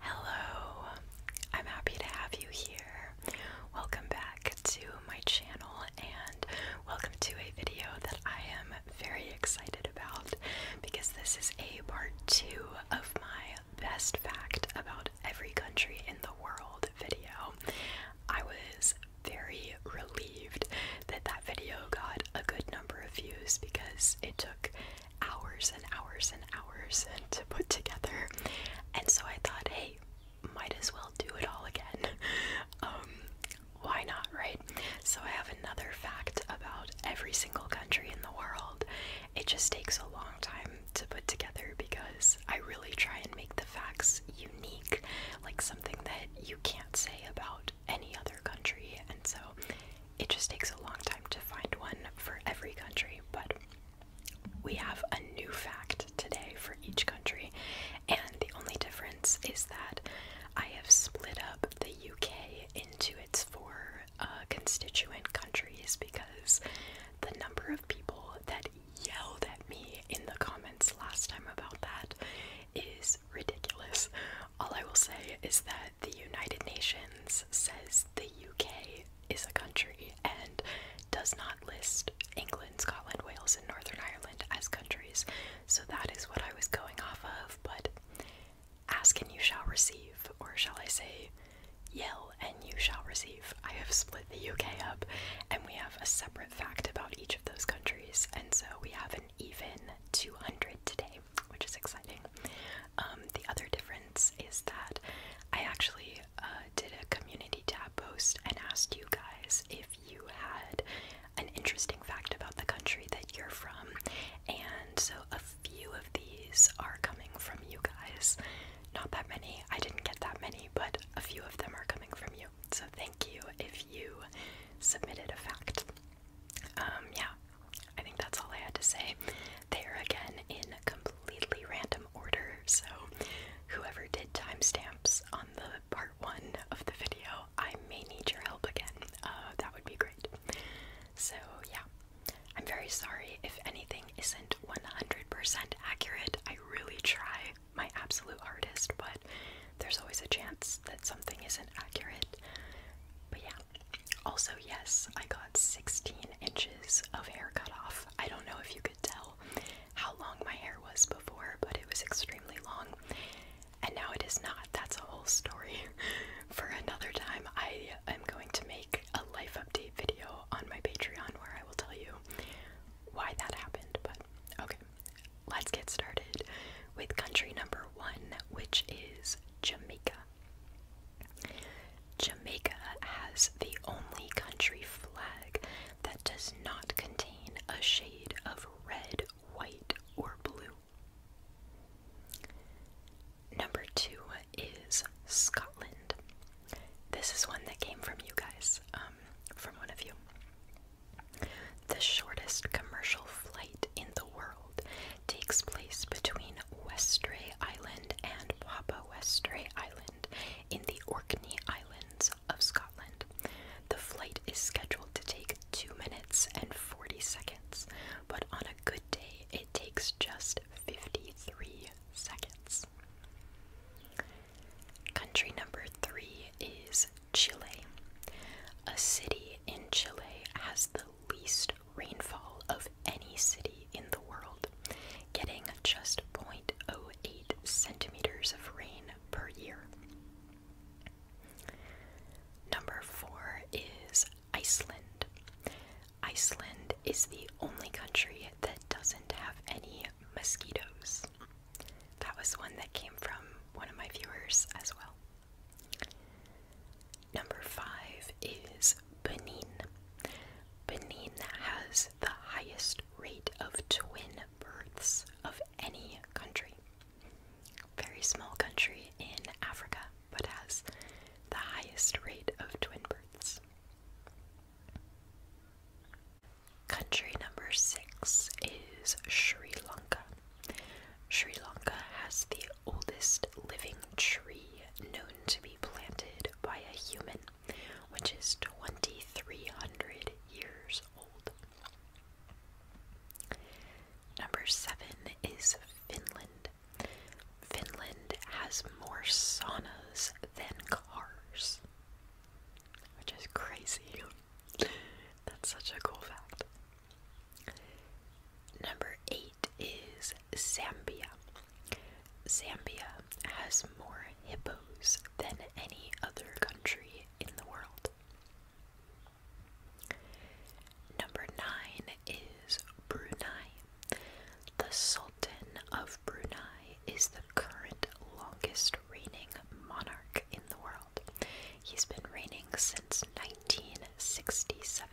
Hello, I'm happy to have you here. Welcome back to my channel and welcome to a video that I am very excited about because this is a part two of my best fact about every country in the world video. I was very relieved that that video got a good number of views because it took hours and hours and hours to put together. And so I thought, hey, might as well do it all again. Um, why not, right? So I have another fact about every single country in the world. It just takes a long time to put together because I really try and make the facts unique, like something that you can't say about any other country. And so it just takes a long time to find one for every country, but we have a new fact today for each country, and the only difference is that I have split up the UK into its four uh, constituent countries because the number of people that yelled at me in the comments last time about that is ridiculous. All I will say is that the United Nations says the UK is a country and does not list England, Scotland, Wales, and Northern Ireland as countries. So that is what I was going off of, but ask and you shall receive, or shall I say, yell and you shall receive. I have split the UK up and we have a separate fact about each of those countries, and so we have an even 200 today, which is exciting. Um, the other difference is that I actually uh, did a community tab post and asked you guys if you had an interesting fact about the country that you're from, and so a few of these are coming from you guys. Not that many, I didn't get that many, but a few of them are coming from you. So thank you if you submitted a fact. Um, yeah, I think that's all I had to say. They are again in a completely random order, so whoever did timestamps on the part one of the video, I may need your help again. Uh, that would be great. So, yeah, I'm very sorry if anything isn't 100% accurate. I really try my absolute hardest, but there's always a chance that something isn't accurate. But yeah, also, yes, I got 16 inches of hair cut off. I don't know if you could tell how long my hair was before, but it was extremely long. And now it is not. That's a whole story for another time. I am going to make a life update video on my Patreon where I will tell you why that happened. But okay, let's get started with country number one, which is Jamaica. Jamaica has the only country flag that does not contain a shade of red, white, or blue. Number two is Scotland. This is one that came from you guys, um, from one of you. The shortest commercial flight in the world takes place between Westray Island and Papa Westray Island in the Orkney Islands of Scotland. The flight is scheduled to take 2 minutes and 40 seconds, but on a good day it takes just 53 seconds. Country number 3 is Chile. A city in Chile has the least rainfall of any city in the world, getting just 0.08 centimeters of rain per year. Number four is Iceland. Iceland is the only country that doesn't have any mosquitoes. That was one that came from one of my viewers as well. Number five is Benin. Benin has the highest rate of twin births of any country. Very small country in Africa, but has the highest rate of twin births. Country number six is Sri Lanka. Sri Lanka has the oldest living tree known to be planted by a human, which is 2300 years old. Number seven is Finland. Finland has more saunas than cars, which is crazy. That's such a cool fact. Number eight is Zambia. Zambia has more hippos than any other country in the world. Number nine is Brunei. The Sultan of Brunei is the current longest reigning monarch in the world. He's been reigning since 1967.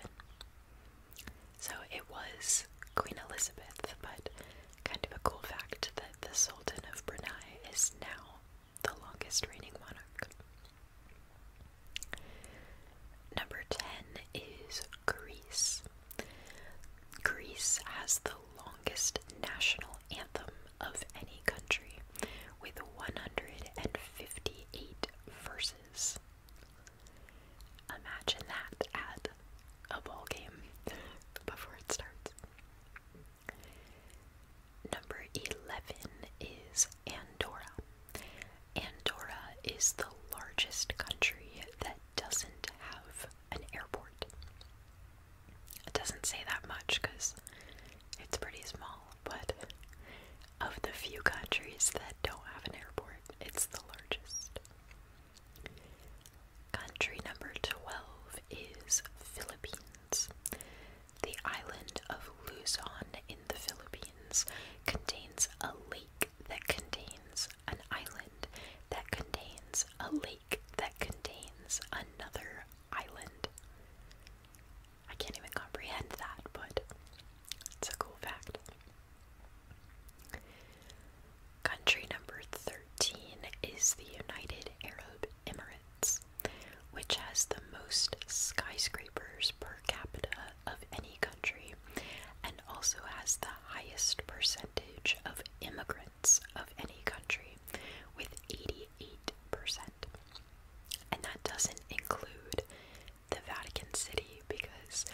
So it was Queen Elizabeth, but kind of a cool fact that the Sultan of Brunei is now the longest reigning monarch. Number 10 is Greece. Greece has the longest national anthem of any country with 158 verses. Imagine that at a ball game before it starts. Number 11 is Andorra. Andorra is the largest country that doesn't have an airport. It doesn't say that much because it's pretty small, but of the few countries that don't have an airport, it's the largest. Country number 12 is Philippines. The island of Luzon in the Philippines contains a lake that contains an island that contains a lake that contains another island. I can't even comprehend that, but it's a cool fact. Country number 13 is the United Arab Emirates, which has the most skyscrapers per capita of any country and also has the highest percentage of immigrants of any country with 88%. And that doesn't include the Vatican City because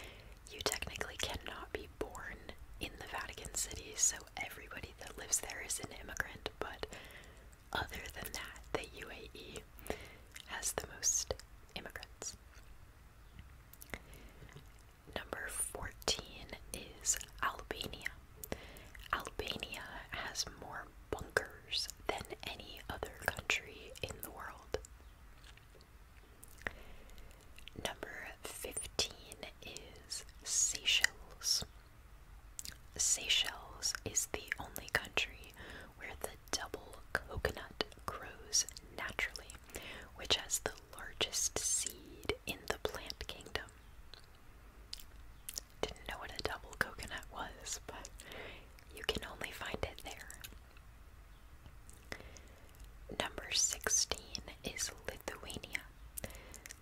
you technically cannot be born in the Vatican City, so everybody that lives there is an immigrant. But other than that, the UAE has the most immigrants. Number 14 is Albania. Albania has more bunkers than any other country in the world. Number 15 is Seychelles. Seychelles is the only country where the double coconut grows naturally, which has the largest seed in the plant kingdom. Didn't know what a double coconut was, but you can only find it there. Number 16 is Lithuania.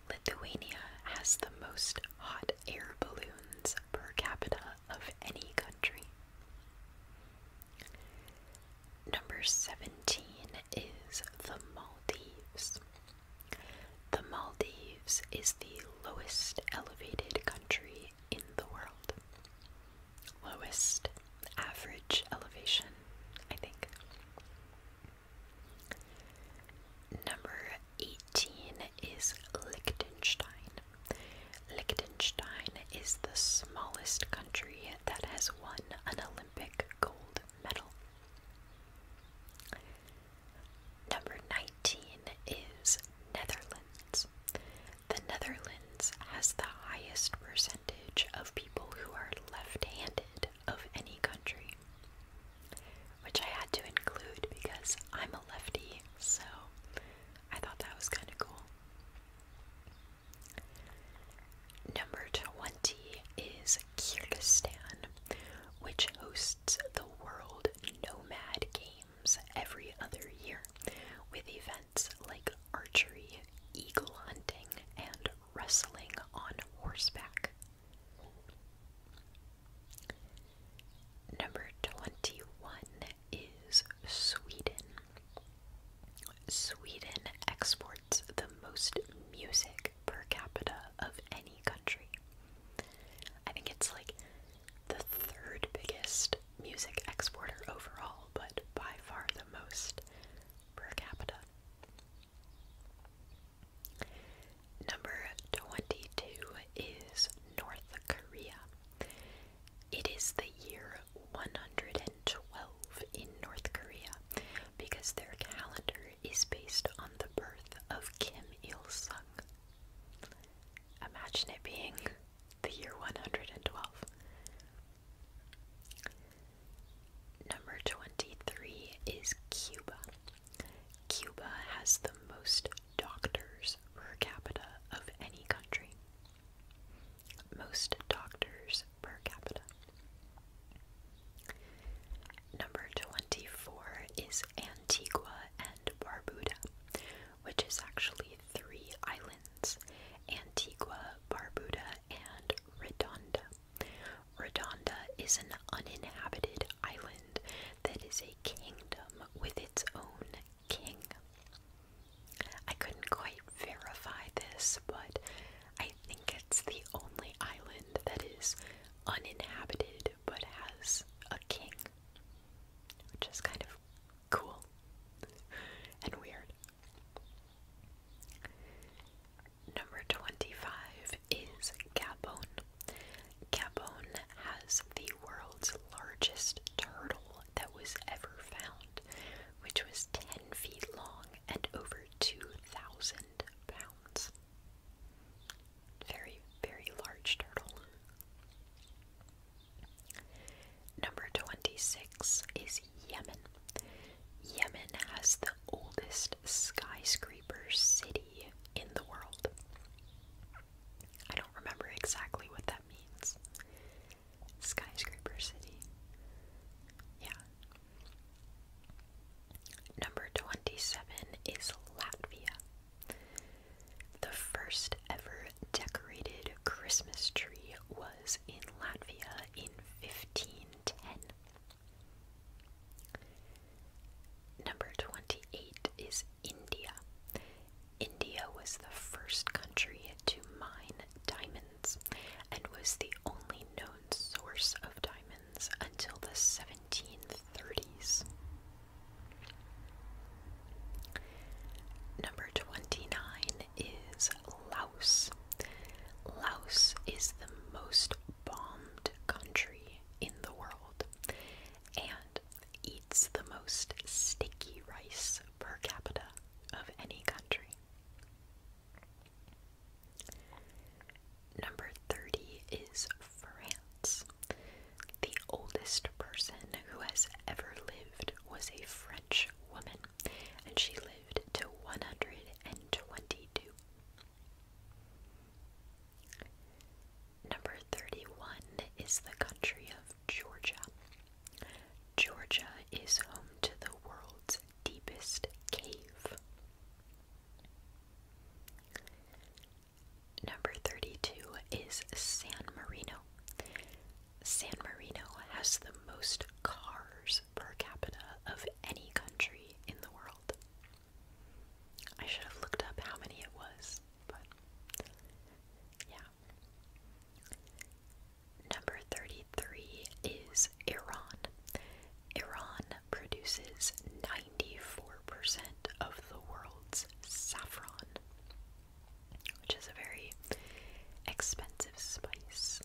Lithuania has the most hot air balloons per capita of any country. Number 17 is the Maldives. The Maldives is the lowest elevated country in the world lowest average elevation, I think. Number 18 is Liechtenstein. Liechtenstein is the smallest country that has won an Olympic gold medal. Number 19 is Netherlands. The Netherlands has the highest percentage of people who are left handed of any country, which I had to include because I'm a lefty, so I thought that was kind of cool. Number 20 is Kyrgyzstan, which hosts the World Nomad Games every other year with events events like archery, eagle hunting, and wrestling on horseback. Number 21 is Sweden. Sweden exports the most music per capita of any country. I think it's like the third biggest music exporter overall, but by far the most per capita. Number 22 is North Korea. It is the year 112 in North Korea because their calendar is based on the birth of Kim Il sung. Imagine it being the year 112. Number 23 is Cuba. Cuba has the most doctors per capita of any country. Most doctors per capita. Number 24 is Antigua and Barbuda, which is actually three islands Antigua, Barbuda, and Redonda. Redonda is an uninhabited island that is a kingdom with its own king. I couldn't quite verify this, but I think it's the only island that is uninhabited but has a king, which is kind of cool and weird. Number 25 is Gabon. Gabon has the world's largest turtle that was ever found, which was 10 feet long and over 2,000 pounds. Very, very large turtle. Number 26 is Yemen. Yemen has the oldest skyscraper city in the world. I don't remember exactly what that means. Skyscraper city. Yeah. Number 27 is Latvia. The first ever decorated Christmas tree was in Latvia in 1510. Number 28 is India. India was the first country to mine diamonds and was the only known source of diamonds until the 1730s. Number 29 is Laos. Laos is the most bombed country in the world and eats the most sticky rice per capita of any country. Number 30 is France. The oldest person who has ever lived was a French woman, and she lived to 122. Number 31 is the country of Georgia. Georgia is home to the world's deepest cave. Number 32 is San Marino. San Marino has the most cars per capita of any country in the world. I should have looked up how many it was, but yeah. Number 33 is Iran. Iran produces 94% of the world's saffron which is a very expensive spice.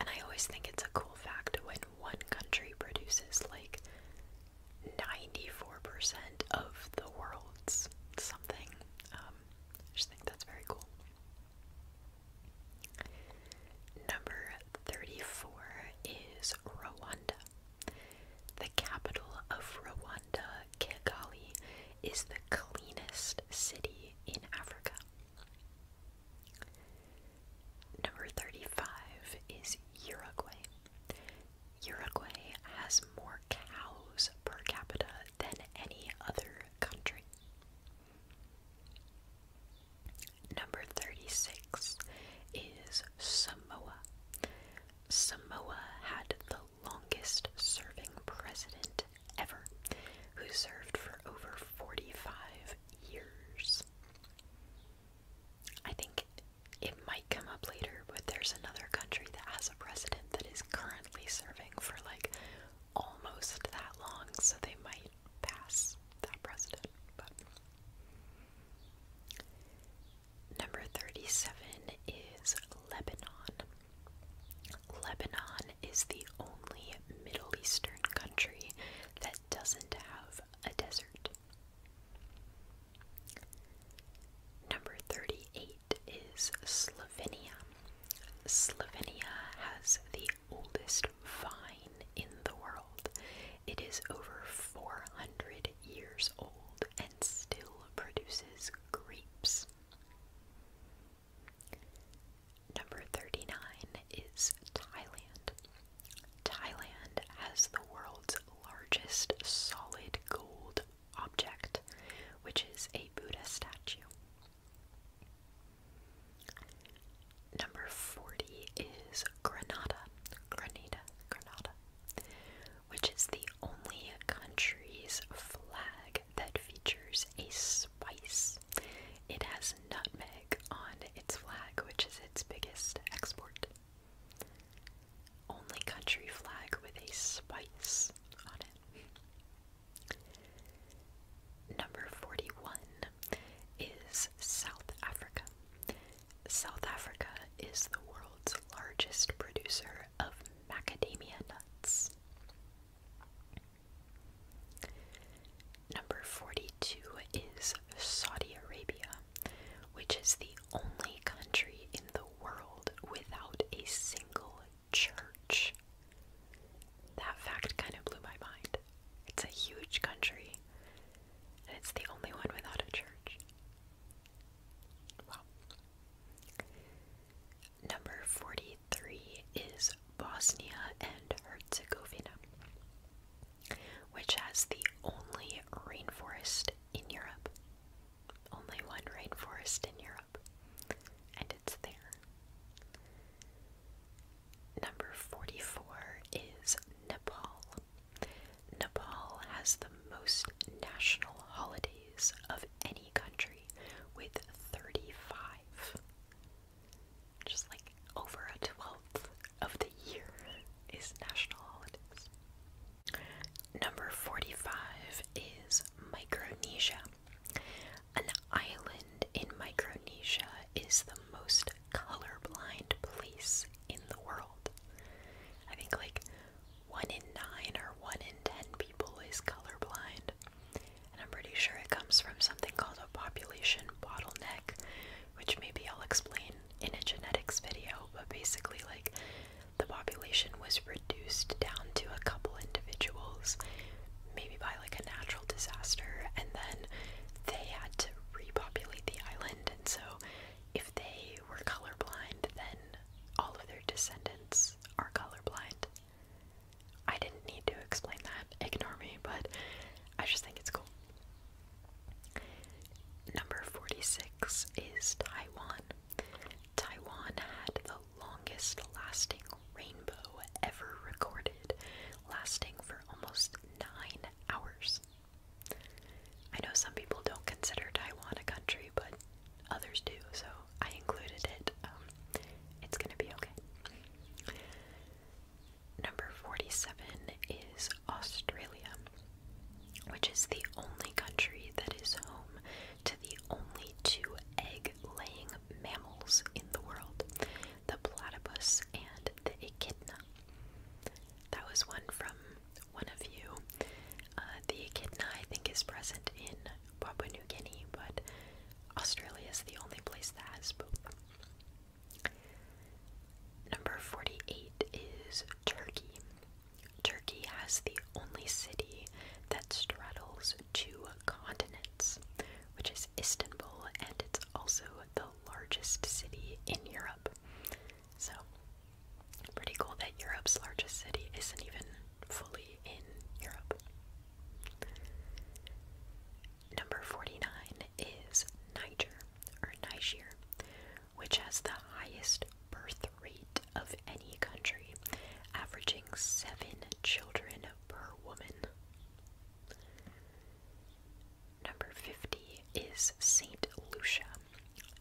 And I always think it's a cool fact when one country produces like 94% of the world's something. Um, I just think that's very cool. Number 34 is Rwanda. The capital of Rwanda Kigali is the cleanest city in Africa. Number 35 is Uruguay. Uruguay has more cows per capita than any other country. Number 36 is Samoa. Samoa had the longest serving president ever, who served for over 45 years. I think it might come up later, but there's another country that has a president that is currently serving for like almost that long, so they might pass that president. But number 37 is Lebanon. Lebanon is the only Middle Eastern country that doesn't have a desert. Number 38 is Slovenia. Slovenia has the oldest vine in the world. It is over 400 years old and still produces grapes. Number 39 is Thailand. Thailand has the world's largest solid gold object, which is a Buddha statue. Number 40 is Granada, Granada, Granada, which is the only country's flag that features a spice. It has nutmeg on its flag, which is its biggest export. Only country flag with a spice on it. Number 41 is South Africa. South Africa is the world's largest producer of macadamia nuts. Number 42 is Saudi Arabia, which is the only country in the world without a single church. That fact kind of blew my mind. It's a huge country, and it's the only one without a church. Wow. Number 43 is Bosnia and Herzegovina, which has the only rainforest in Europe. Only one rainforest in Europe, and it's there. Number 44 is Nepal. Nepal has the most national holidays of any country with 35. Just like over a 12th of the year is national holidays. Number 45 is Micronesia. An island in Micronesia is the most colorblind place in the world. I think like one in nine or one in ten people is colorblind. And I'm pretty sure it comes from something called a population bottleneck, which maybe I'll explain in a genetics video, but basically, like, the population was reduced down to a couple individuals, maybe by like a natural disaster, and then they had to repopulate the island. And so, if they were colorblind, then all of their descendants are colorblind. I didn't need to explain that, ignore me, but I just think it's cool. Number 46 is Taiwan. Taiwan had the longest lasting rainbow ever recorded, lasting for almost nine hours. I know some people don't consider Taiwan a country, but others do, so I included it. Um, it's gonna be okay. Number 47 is Australia, which is the only country that is home to the only two egg laying mammals in the world the platypus and the echidna. That was one from one of you uh, the echidna, I think, is present in Papua New Guinea, but Australia is the only place that has both. Number 48 is Turkey. Turkey has the only city that straddles two continents, which is Istanbul, and it's also the largest city in Europe. So, pretty cool that Europe's largest city isn't even fully in Europe. Number 49 is Niger or Niger, which has the highest birth rate of any country, averaging seven children per woman. Number 50 is St. Lucia.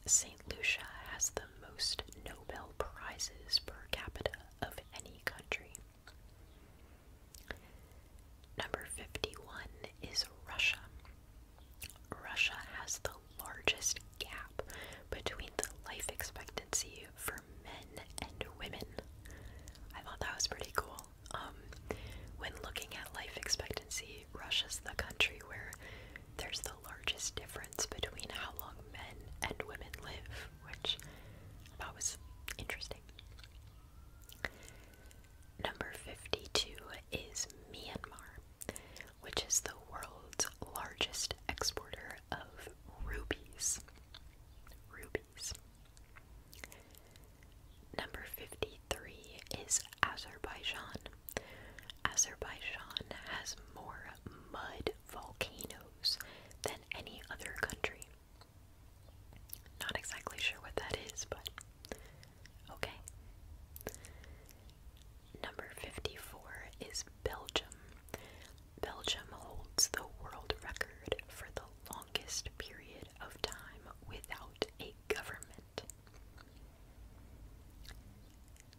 St. Lucia has the most Nobel Prizes per capita of any country. Number 51 is Russia. Russia has the largest gap between the life expectancy for men and women. I thought that was pretty cool. Um, when looking at life expectancy, Russia's the country where there's the largest difference between how long men and women live which I thought was interesting. Number 52 is Myanmar, which is the world's largest exporter of rubies. Rubies. Number 53 is Azerbaijan. Azerbaijan has more mud volcanoes than any other country. Not exactly sure what that is, but okay. Number 54 is Belgium. Belgium holds the world record for the longest period of time without a government.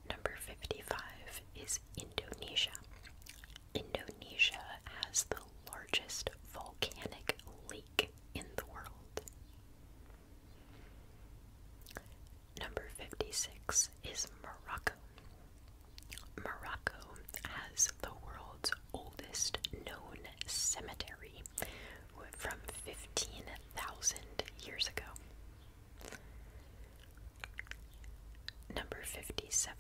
Number 55 is Indonesia. Indonesia has the largest volcanic lake in the world. Number 56 is Morocco. Morocco has the world's oldest known cemetery from 15,000 years ago. Number 57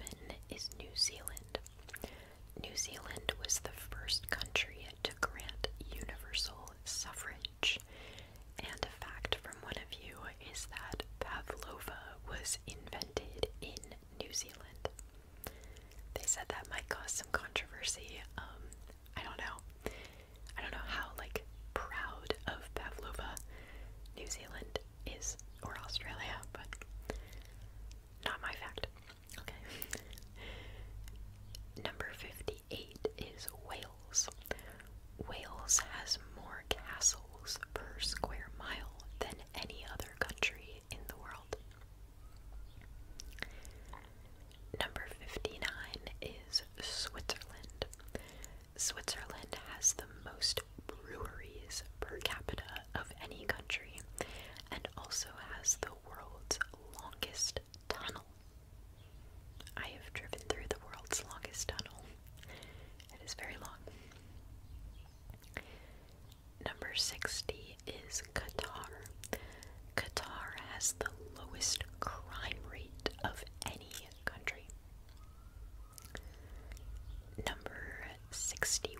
is New Zealand. New Zealand was the first country to grant universal suffrage. And a fact from one of you is that pavlova was invented in New Zealand. They said that might cause some controversy. Um, I don't know. I don't know how like proud of pavlova New Zealand is, or Australia, but not my fact. Okay. Number 58 is Wales. Wales has more castles per square mile than any other country in the world. Number 59 is Switzerland. Switzerland has the most breweries per capita of any country and also has the world's longest tunnel. I have driven through the world's longest tunnel. It is very long. Number 60 is Qatar. Qatar has the lowest crime rate of any country. Number 61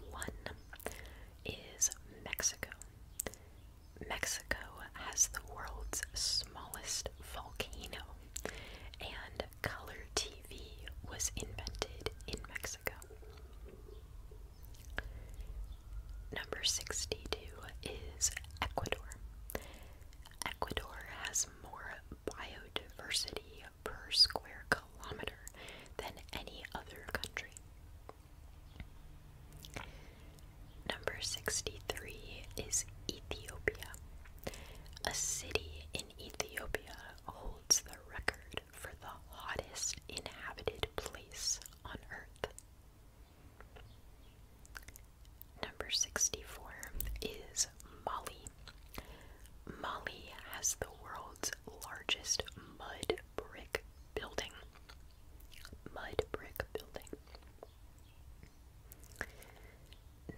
is Mexico. Mexico has the world's smallest volcano, and color TV was invented in Mexico. Number 62 is Ecuador. Ecuador has more biodiversity per square kilometer than any other country. Number 63 is Ethiopia. A city in Ethiopia holds the record for the hottest inhabited place on Earth. Number 64 is Mali. Mali has the world's largest mud brick building. Mud brick building.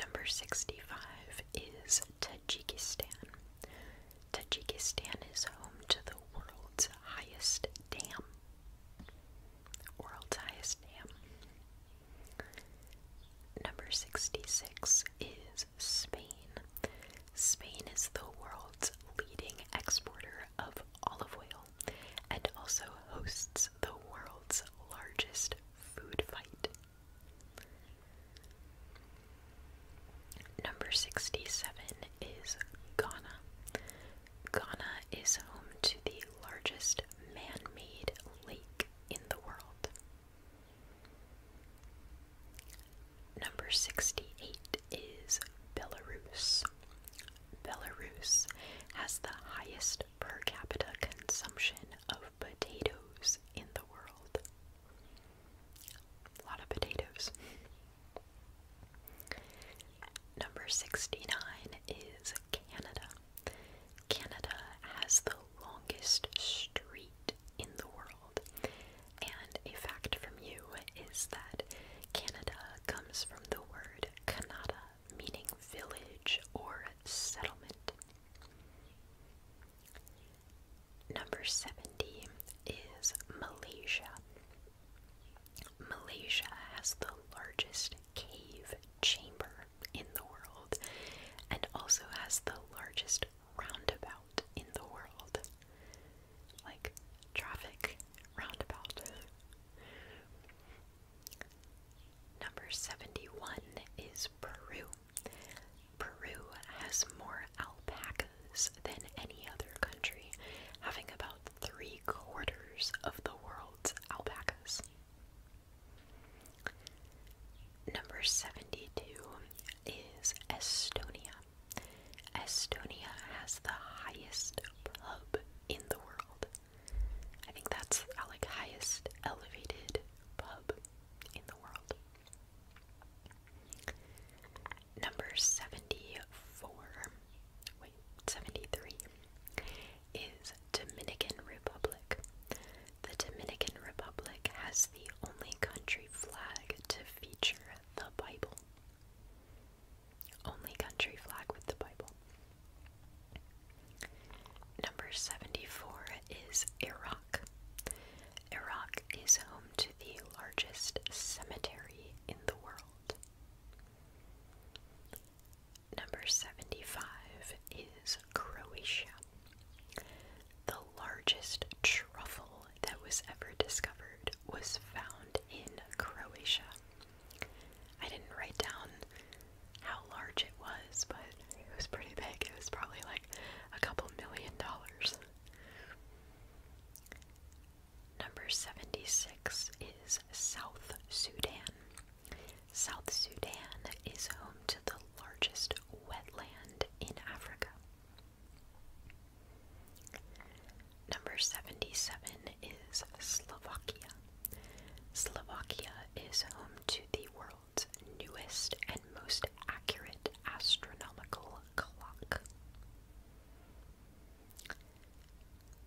Number 65 is Tajikistan. Tajikistan is home to the world's highest dam. World's highest dam. Number 66 is Spain. Spain is the world's leading exporter of olive oil and also hosts the world's largest food fight. Number 67 is Ghana. Ghana is home to the largest man made lake in the world. Number 68 is Belarus. Belarus has the highest per capita consumption of potatoes in the world. A lot of potatoes. Number 69 is Canada. Canada has the longest street in the world, and a fact from you is that Canada comes from the word Kanada, meaning village or settlement. Number 70 is Malaysia. Malaysia has the largest cave chamber in the world and also has the largest roundabout in the world. Like traffic roundabout. Number 71 is Peru. Peru has more alpacas than any other country, having about three quarters of the world's alpacas. Number 72 is Estonia. Estonia has the highest pub in the world. I think that's uh, like, highest elevated pub in the world. Number 74, wait, 73 is Dominican Republic. The Dominican Republic has the only country flag to feature the Bible. Only country flag with the Bible. Number 74 is Iraq. Iraq is home to the largest cemetery in the world. Number 75 is Croatia. The largest truffle that was ever discovered was found in Croatia. I didn't write down how large it was, but it was pretty big. It was probably like a couple million dollars. Number 76 is South Sudan. South Sudan is home to the largest wetland in Africa. Number 77 is Slovakia. Slovakia is home to the world's newest and most accurate astronomical clock.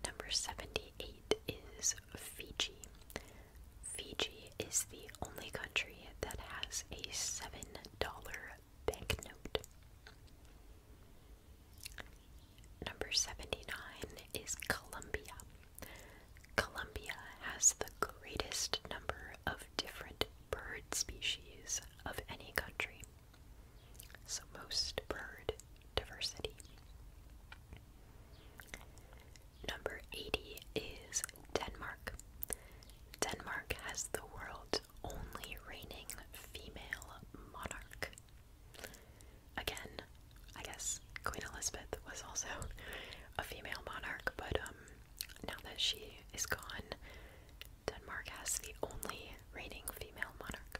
Number 78 is Fiji. Fiji is the only country that has a $7 banknote. Number 79 is Colombia. Colombia has the greatest number of different bird species of any country, so most bird diversity. Number 80 is Denmark. Denmark has the world's only reigning female monarch. Again, I guess Queen Elizabeth was also a female monarch, but um, now that she is gone, Denmark has the only reigning female monarch.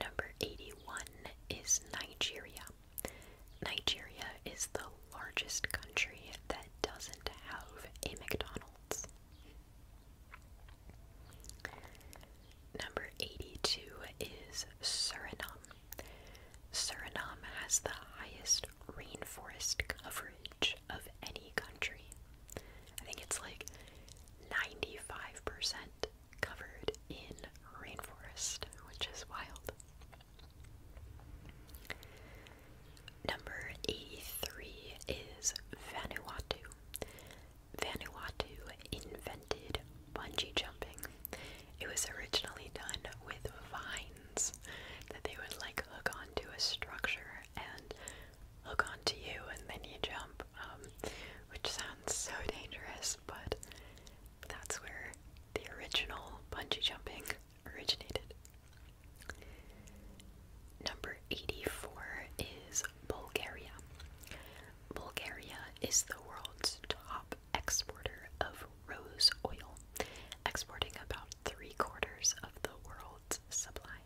Number 81 is Nigeria. Nigeria is the largest country that doesn't have a McDonald's. Number 82 is Suriname. Suriname has the highest rainforest coverage of any country. I think it's like 95% covered in rainforest, which is wild. Number 83 is Vanuatu. Vanuatu invented bungee jumping. It was originally done with vines that they would like hook onto a structure and hook onto you and then you jump, um, which sounds so dangerous, but that's where the original bungee jumping originated. Number 84 is Bulgaria. Bulgaria is the world's top exporter of rose oil, exporting about three quarters of the world's supply.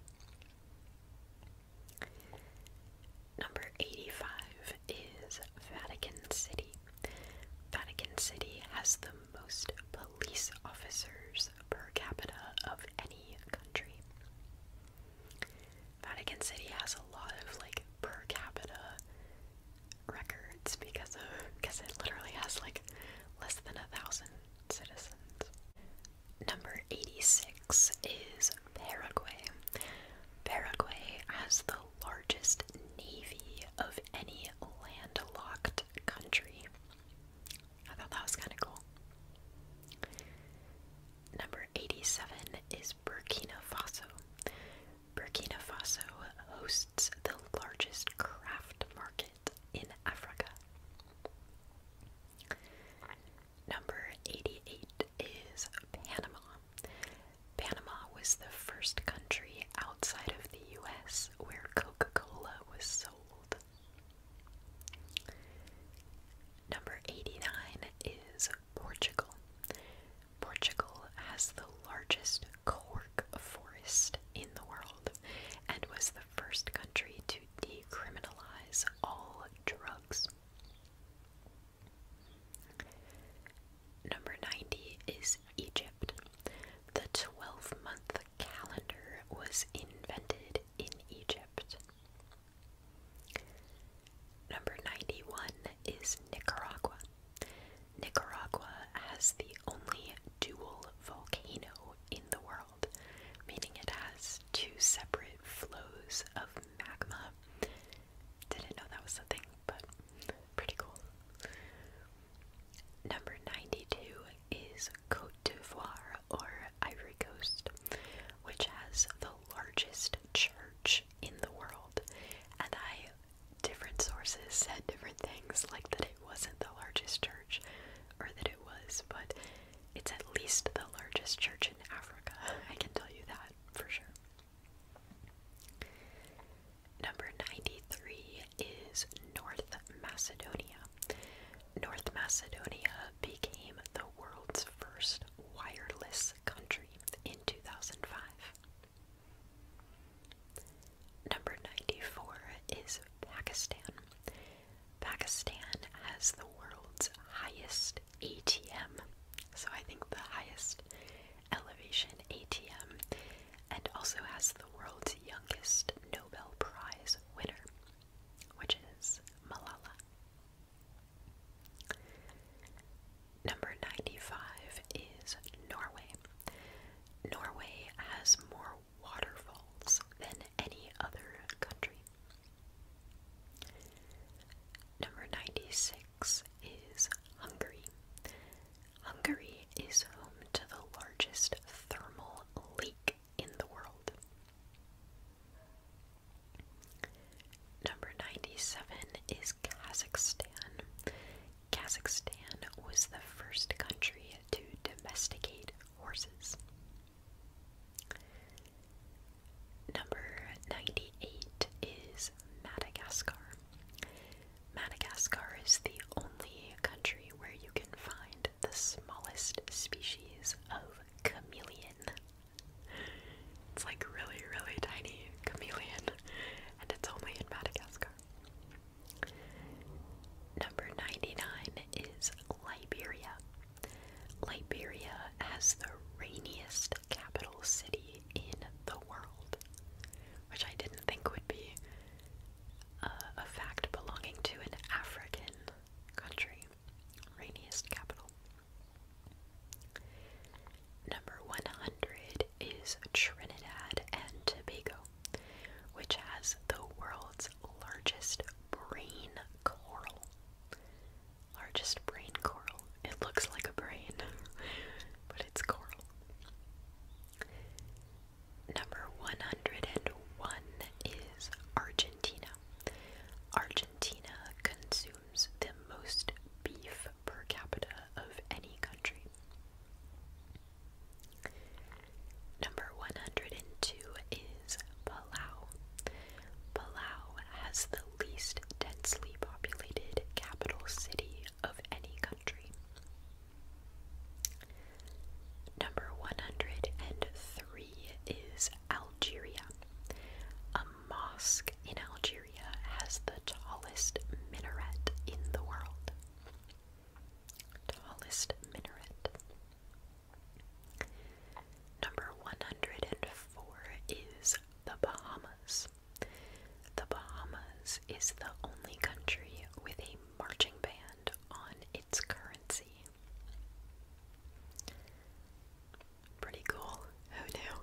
Number 85 is Vatican City. Vatican City has the most police officers per capita of any country. Vatican City has a lot of like per capita records because of because it literally has like less than a thousand citizens. Number 86 is Paraguay. Paraguay has the largest navy of any landlocked country. I thought that was kind of cool. Number 87 is Burkina Faso. Burkina Faso hosts the largest craft market in Africa. Number 88 is Panama. Panama was the first country outside of the US where Coca Cola was sold. Number 89 is Portugal. Portugal has the largest cork forest in the world and was the first country to decriminalize all drugs. Number 90 is Egypt. The 12 month calendar was invented in Egypt. Number 91 is Nicaragua. Nicaragua has the only dual volcano in the world, meaning it has two separate flows of magma didn't know that was a thing, but pretty cool. Number 92 is Cote d'Ivoire or Ivory Coast, which has the largest church in the world. And I, different sources said different things, like that it wasn't the largest church or that it was, but it's at least the largest church in Africa. I can tell you that for sure. Number 93 is North Macedonia. North Macedonia became the world's first wireless country in 2005. Number 94 is Pakistan. Pakistan has the world's highest ATM. So I think the highest Elevation ATM, and also has the world's youngest Nobel Prize winner, which is Malala. Number 95 is Norway. Norway has more waterfalls than any other country. Number 96 six is Hungary. Hungary is home to the largest thermal lake in the world. Number 97 is Kazakhstan. Kazakhstan was the first country to domesticate horses. Number 98 is Madagascar. Madagascar is the only country where you can find the smallest species of chameleon. It's like really, really tiny chameleon, and it's only in Madagascar. Number 99 is Liberia. Liberia has the rainiest capital city in the world which I didn't think would be a fact belonging to an African country. Rainiest capital. Number 100 is Trinidad and Tobago, which has the world's largest brain coral. Largest brain coral. It looks like a brain, but it's coral. Number 101 is Argentina. Argentina consumes the most beef per capita of any country. Number 102 is Palau. Palau has the least densely populated capital city of any country. Number 103 is Algeria. A mosque in Algeria has the tallest minaret in the world. Tallest minaret. Number 104 is the Bahamas. The Bahamas is the only country with a marching band on its currency. Pretty cool. Who knew?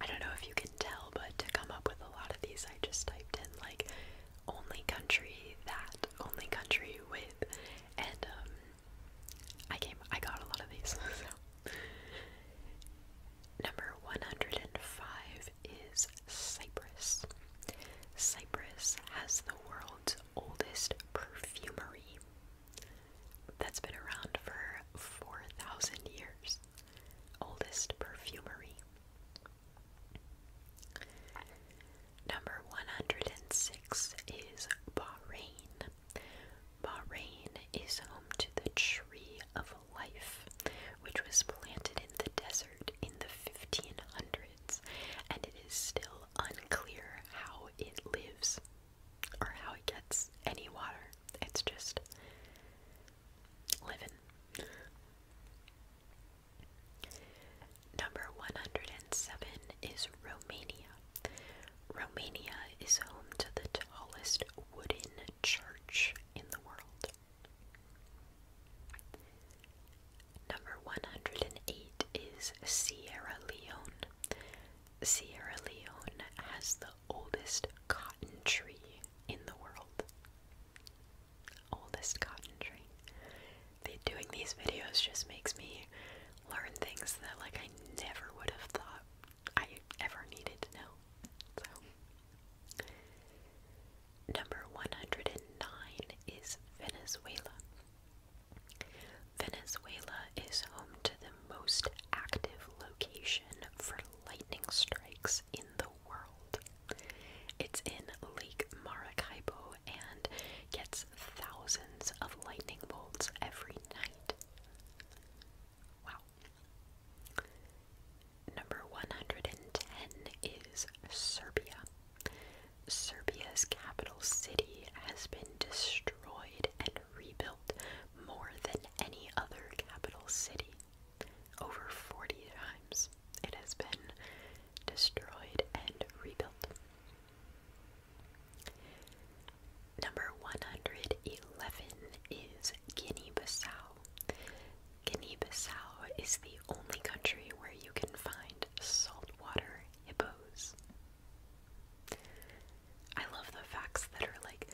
I don't know if you can tell, but to come up with a lot of these, I just typed in like only country that, only country with, and um, I came, I got a lot of these. Number 105 is Cyprus. Cyprus has the world's oldest perfumery that's been around for 4,000 years. Oldest perfumery. Number 106 is Bahrain. Bahrain is home to the Tree of a Life, which was planted in the desert in the 1500s, and it is still unclear how it lives or how it gets any water. It's just living. Number 107 is Romania. Romania is home to the tallest wooden church in the world. Number 108 is Sierra Leone. Sierra Leone has the oldest cotton tree in the world. Oldest cotton tree. doing these videos just makes me learn things that like I never would have thought I ever needed to know. So, number 109 is Venezuela. Venezuela is home to the most active location for lightning strikes in the world. It's in Lake Maracaibo and gets thousands of lightning bolts every night. Wow. Number 110 is Serbia. Serbia's capital city has been destroyed and rebuilt more than any other capital city. Over 40 times it has been destroyed and rebuilt. Number 111 is Guinea Bissau. Guinea-Bissau is the only country where you can find saltwater hippos. I love the facts that are like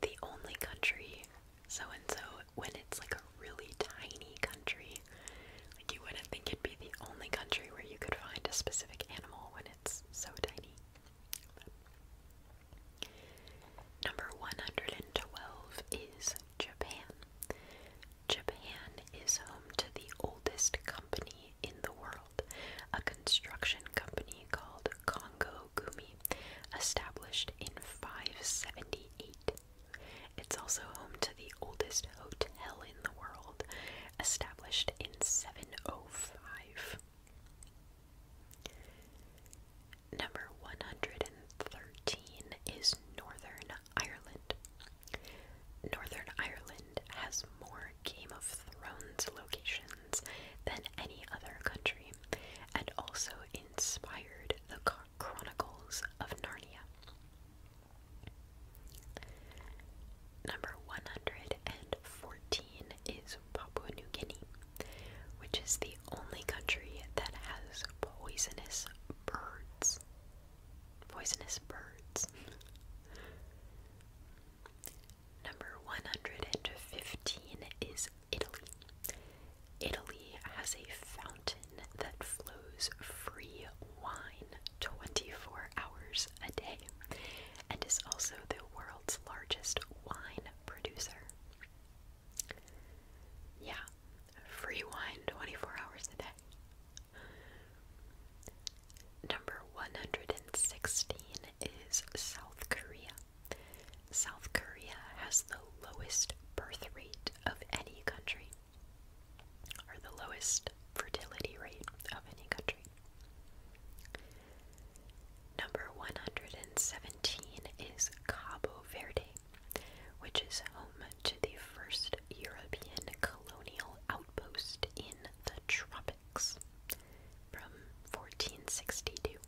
the only country so and so when it's like a really tiny country. Like you wouldn't think it'd be the only country where you could find a specific animal when it's so tiny. Number 112 is Japan. Japan is home to the oldest company in the world, a construction company called Kongo Gumi, established in 578. It's also home to the oldest hotel in the world, established in 705. Number 113 is Northern Ireland. Northern Ireland has more Game of Thrones locations than any other country and also inspired the Chronicles of Narnia. Number 114 is Papua New Guinea which is the only country that has poisonous birds. Poisonous birds. Number 115 is Italy. Italy has a fountain that flows free wine 24 hours a day and is also the world's largest wine producer. Yeah, free wine 24 hours a day. Number 116 is South Korea. South Korea has the lowest birth rate of any country, or the lowest fertility rate of any country. Number 117 is Cabo Verde, which is home to the first European colonial outpost in the tropics from 1462.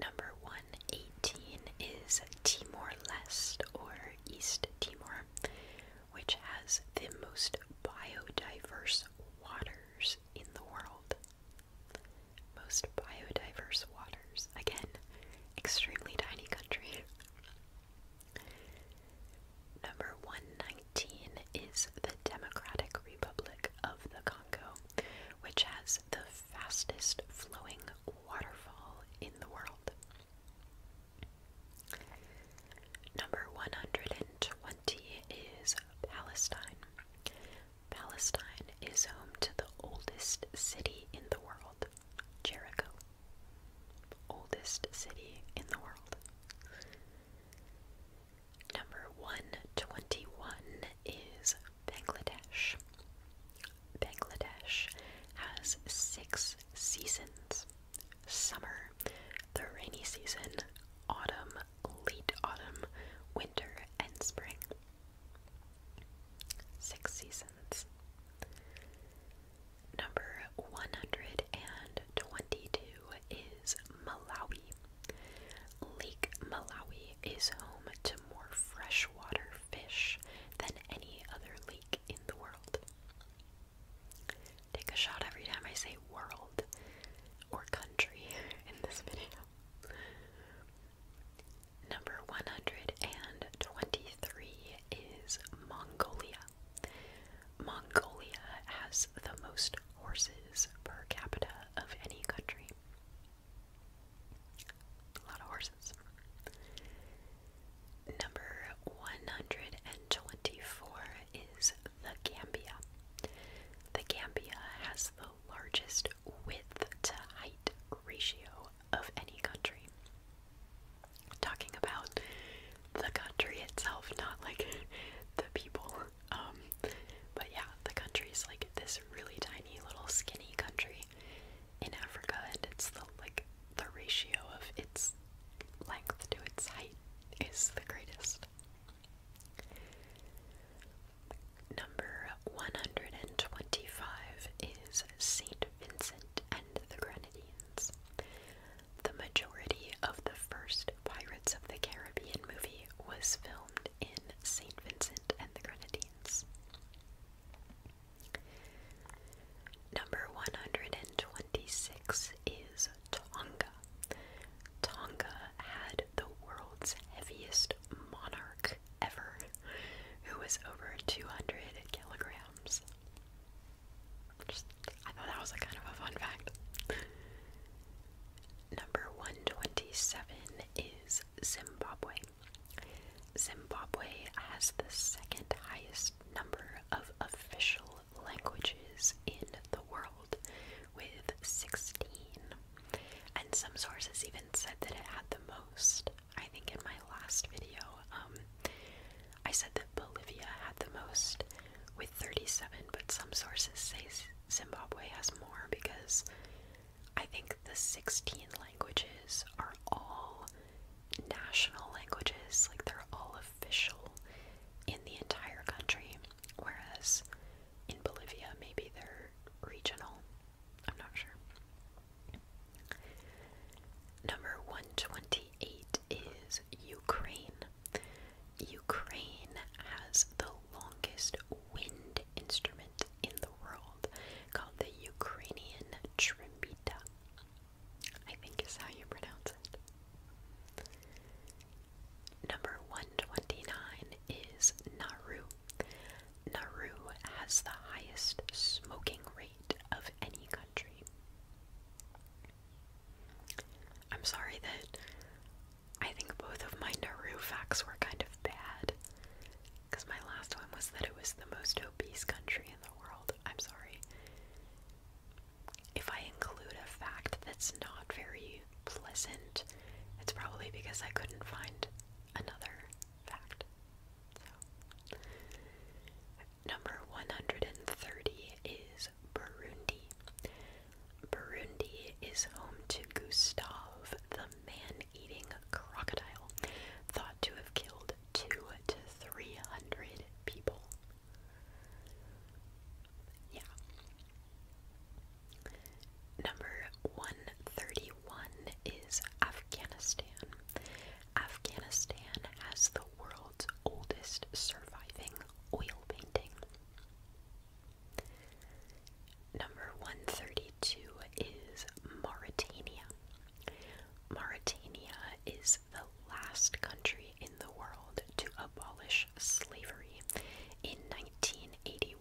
Number 118 is Timor Leste or East Timor, which has the most biodiverse waters in the world. Most biodiverse waters. Again, extremely tiny country. Number 119 is the Democratic Republic of the Congo, which has the fastest flowing waterfall in the world. Number 120 is Palestine, Palestine is home to the oldest city in the world, Jericho. Oldest city in the world. Number 121 is Bangladesh. Bangladesh has six seasons summer, the rainy season, autumn, late autumn, winter, and spring. Six seasons. Number 122 is Malawi. Lake Malawi is home to more freshwater fish than any other lake in the world. Take a shot every time I say world or country in this video. Number 123 is Mongolia. Mongolia has the most horses per capita of any country. A lot of horses. Number 124 is the Gambia. The Gambia has the largest width to height ratio of any country. Talking about the country itself, not like the people. Um, but yeah, the country is like this really tiny little skinny country in Africa, and it's the like the ratio of its length to its height is the greatest. Number 125 is St. Vincent and the Grenadines. The majority of the first Pirates of the Caribbean movie was filmed in St. Vincent and the Grenadines. Number 126 is Tonga. Tonga had the world's heaviest monarch ever, who was over 200 kilograms. I thought that was kind of a fun fact. Number 127 is Zimbabwe. Zimbabwe has the second highest number of official languages in the world, with 16. And some sources even said that it had the most. I think in my last video, um, I said that Bolivia had the most with 37, but some sources say Zimbabwe has more because I think the 16 languages are all national languages, like they're all official in the entire country whereas in Bolivia, maybe they're regional. I'm not sure. Number 128 is Ukraine. Ukraine has the longest wind instrument in the world called the Ukrainian Trimbita. I think is how you pronounce it. Number 129 is Naru. Naru has the highest smoking rate of any country. I'm sorry that I think both of my Naru facts were kind of bad. Because my last one was that it was the most obese country in the world. I'm sorry if I include a fact that's not very pleasant, it's probably because I couldn't find another fact. So, number 130 is Burundi. Burundi is home to Gustav, the man eating crocodile, thought to have killed two to three hundred people. Yeah. Number 131 is Afghanistan. Afghanistan has the world's oldest surviving oil painting. Number 132 is Mauritania. Mauritania is the last country the world to abolish slavery in 1981,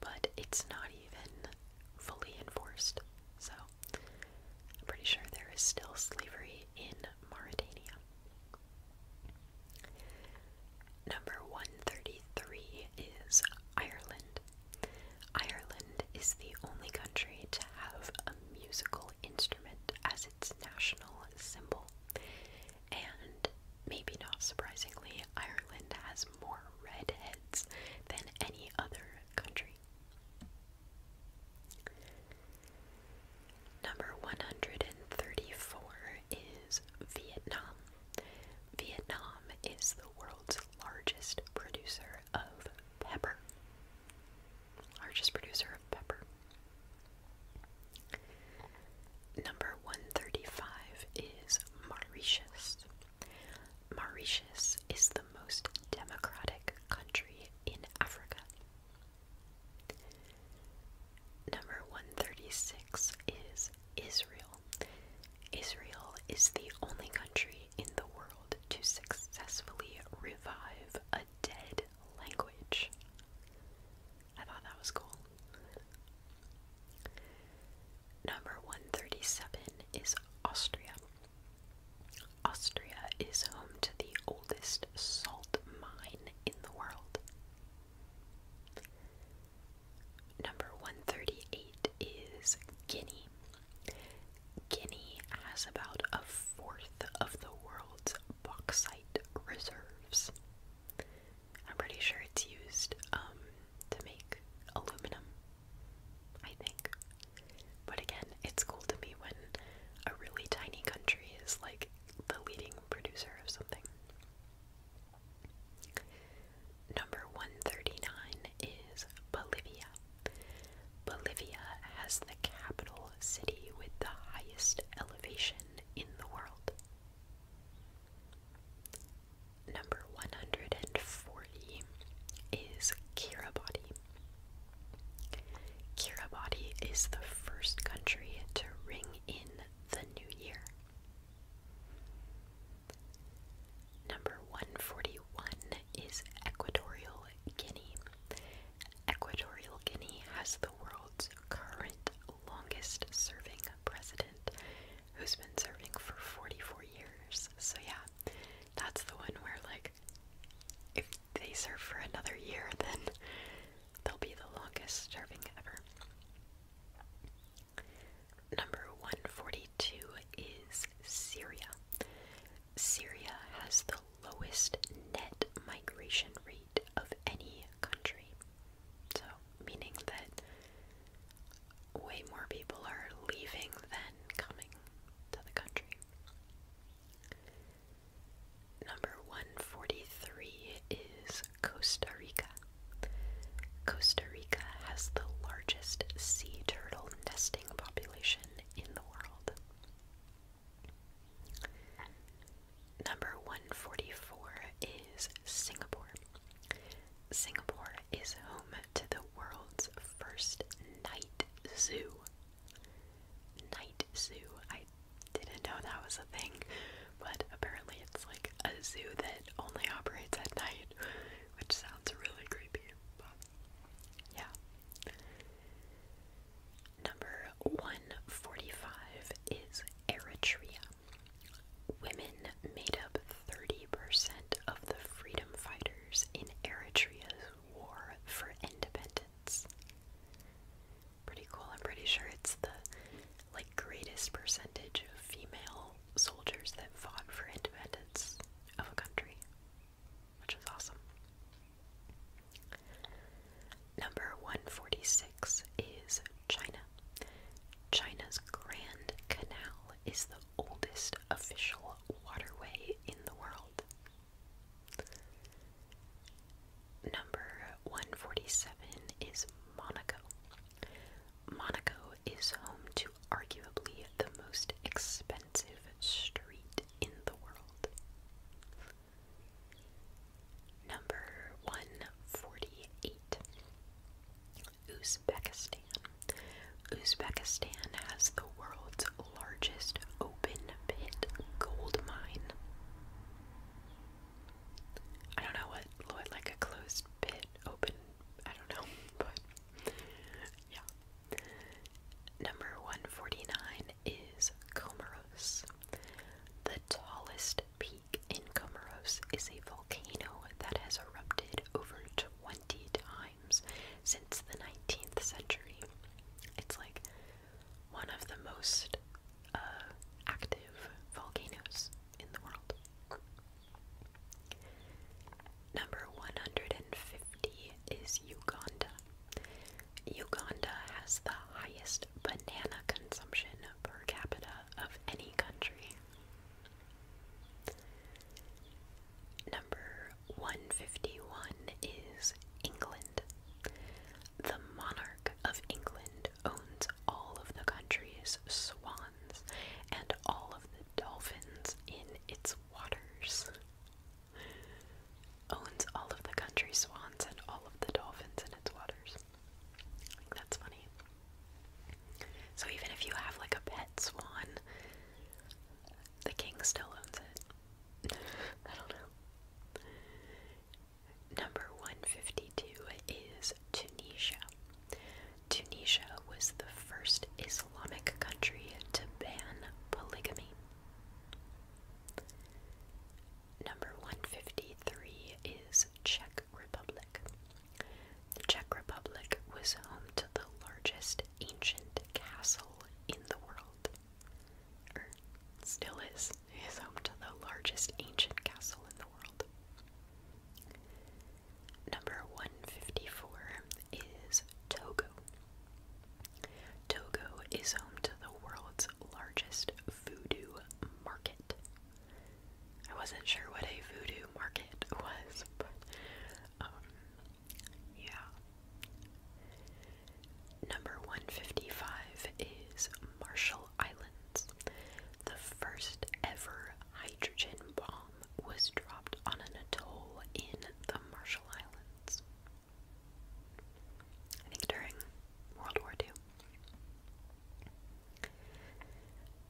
but it's not even fully enforced. So I'm pretty sure there is still slavery in Mauritania. Number 133 is Ireland. Ireland is the only country to have a musical instrument as its national symbol. And maybe not surprisingly, Ireland has more redheads than any other country. Number 134 is Vietnam. Vietnam is the world's largest producer of pepper. Largest producer of pepper. Number 135 is Mauritius. Mauritius is the most democratic country in Africa. Number 136 is Israel. Israel is the only country in the world to successfully revive a dead language. I thought that was cool. Number 137 is Austria. Austria is home to the oldest salt mine in the world. Number 138 is Guinea. Guinea has about a fourth of the world's bauxite reserves. I'm pretty sure it's used um, to make aluminum, I think. But again, it's cool to me when a really tiny country is like the leading producer of something. Number 139 is Bolivia. Bolivia has the capital city with the highest elevation in the world. Number 140 is Kiribati. Kiribati is the first country to ring in the new year. Number 141 is Equatorial Guinea. Equatorial Guinea has the world's current longest serving president who's been serving for 44 years. So, yeah, that's the one where, like, if they serve for another year, then they'll be the longest serving ever. Number 142 is Syria. Syria has the lowest net migration rate of any country. So, meaning that way more people are leaving than coming to the country. Number 143 is Costa Rica. Costa Rica has the largest sea turtle nesting population in the world. Number 144 is Singapore. Singapore is home to the world's first night zoo. Night zoo. I didn't know that was a thing, but apparently it's like a zoo that only operates at night, which sounds really creepy. But yeah. Number 145 is Eritrea. Women made up 30% of the freedom fighters in Eritrea's war for independence. Pretty cool. I'm pretty sure it's the like greatest percentage of female soldiers that fought for independence of a country, which is awesome. Number 146 is China. China's Grand Canal is the oldest official waterway in the world. Number 147 is Monaco. Monaco is home to arguably the most expensive street in the world. Number 148 Uzbekistan. Uzbekistan has the world's largest open pit gold mine. I don't know what, what like a closed pit, open, I don't know, but yeah. Number 149 is Comoros. The tallest peak in Comoros is a volcano that has erupted over 20 times since the 19th century. It's like one of the most uh, active volcanoes in the world. Number 150 is Uganda. Uganda has the highest banana consumption per capita of any country. Number 151 is England. The monarch of England owns all of the country's swans and all of the dolphins in its waters. Owns all of the country's swans and all of the dolphins in its waters that's funny. So even if you have like a pet swan, the king still owns it. I don't know. Number 152 is Tunisia. Tunisia was the first Islamic country to ban polygamy. Number 153 is Czech Republic. The Czech Republic was home to the largest ancient castle in the world. Or er, still is, is home to the largest ancient castle in the world. Number 154 is Togo. Togo is home to the world's largest voodoo market. I wasn't sure what a voodoo market was, but um, yeah. Number 155 is Marshall Islands. The first ever hydrogen bomb was dropped on an atoll in the Marshall Islands. I think during World War II.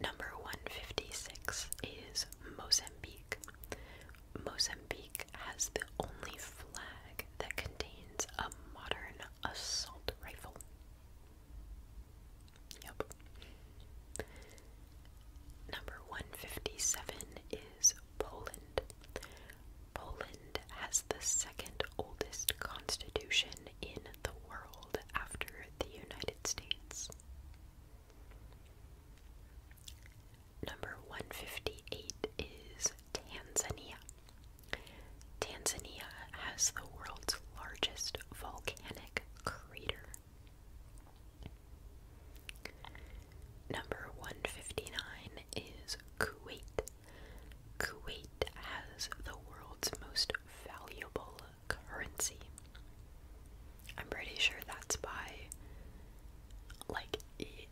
Number 156 is Mozambique. Mozambique has the only flag that contains a modern assault rifle. Yep. Number 157 is Poland. Poland has the second oldest constitution in the world after the United States. Number 158 is Tanzania. Tanzania has the world's largest volcanic crater. Number 159 is Kuwait. Kuwait has the world's most valuable currency. I'm pretty sure that's by like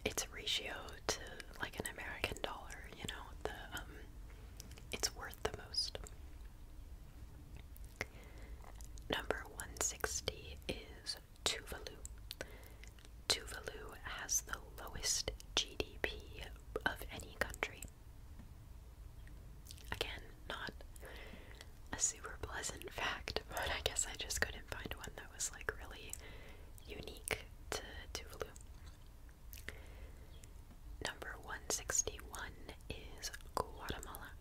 its ratio to like an American dollar, you know, the um, it's worth the most. Number 160 is Tuvalu. Tuvalu has the lowest GDP of any country. Again, not a super pleasant fact, but I guess I just couldn't find one that was like really unique to Tuvalu. Number 161 is Guatemala.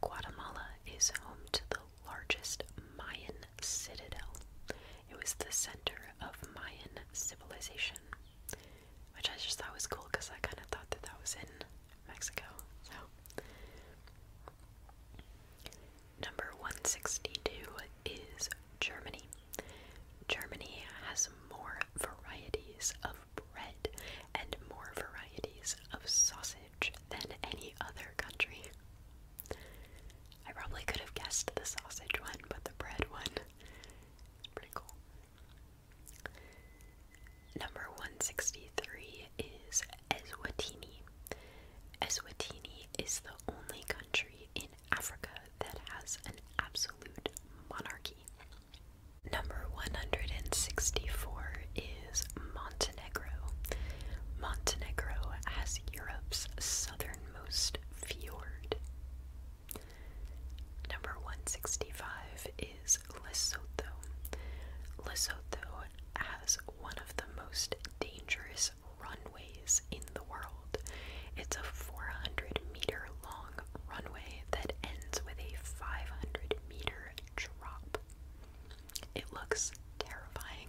Guatemala is home to the largest Mayan citadel, it was the center of Mayan civilization, which I just thought was cool because I kind of thought that that was in Mexico. number 162 is Germany. Germany has more varieties of bread and more varieties of sausage than any other country. I probably could have guessed the sausage one, but the bread one Number 163 is Eswatini. Eswatini is the only country in Africa that has an absolute monarchy. Number 164 is Montenegro. Montenegro has Europe's southernmost fjord. Number 165 is Lesotho. Lesotho has one of the most dangerous runways in the world. It's a 400 meter long runway that ends with a 500 meter drop. It looks terrifying.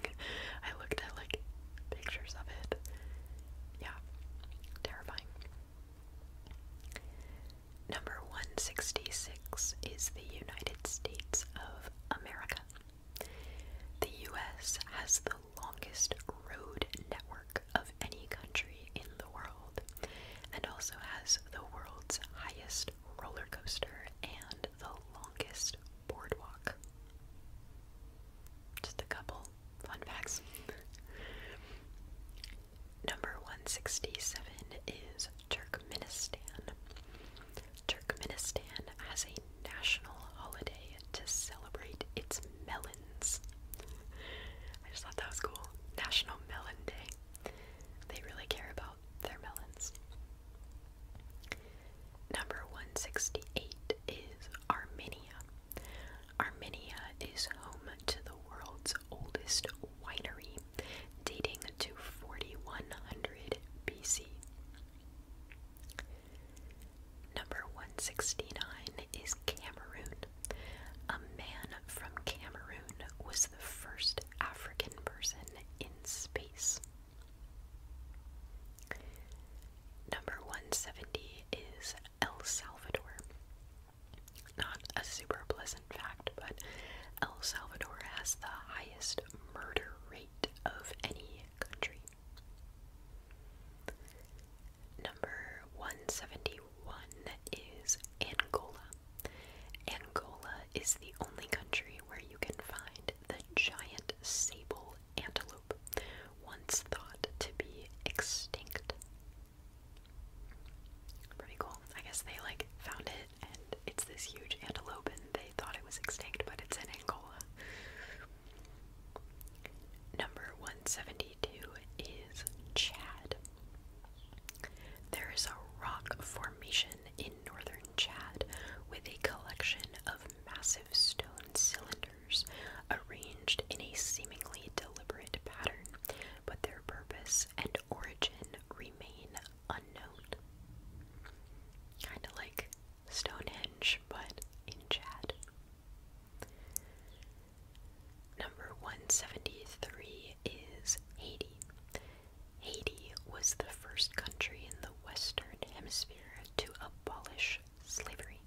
I looked at like pictures of it yeah, terrifying. Number 166 is the United States of America. The US has the longest road network of any country in the world and also has the world's highest roller coaster and the longest boardwalk. Just a couple Fun facts. Number 167 is Turkmenistan. Turkmenistan has a national holiday to celebrate its melons. I just thought that was cool. National Melon Day. They really care about their melons. Number 168 is Armenia. Armenia is home to the world's oldest winery, dating to 4100 BC. Number 169 is Cameroon. A man from Cameroon was the first African person in space. Number 170 is El Salvador. Not a super pleasant fact, but El Salvador has the highest murder rate of any country. Number 171 is Angola. Angola is the only country where you can find the giant sable antelope, once thought to be extinct. Pretty cool. I guess they like found it and it's this huge antelope and they thought it was extinct, but it's in Angola. Number 172 is Chad. There is a rock formation in northern Chad with a collection of massive stone cylinders letters, arranged in a seemingly deliberate pattern, but their purpose and origin remain unknown. Kind of like Stonehenge, but in Chad. Number 173 is Haiti. Haiti was the first country in the Western Hemisphere to abolish slavery.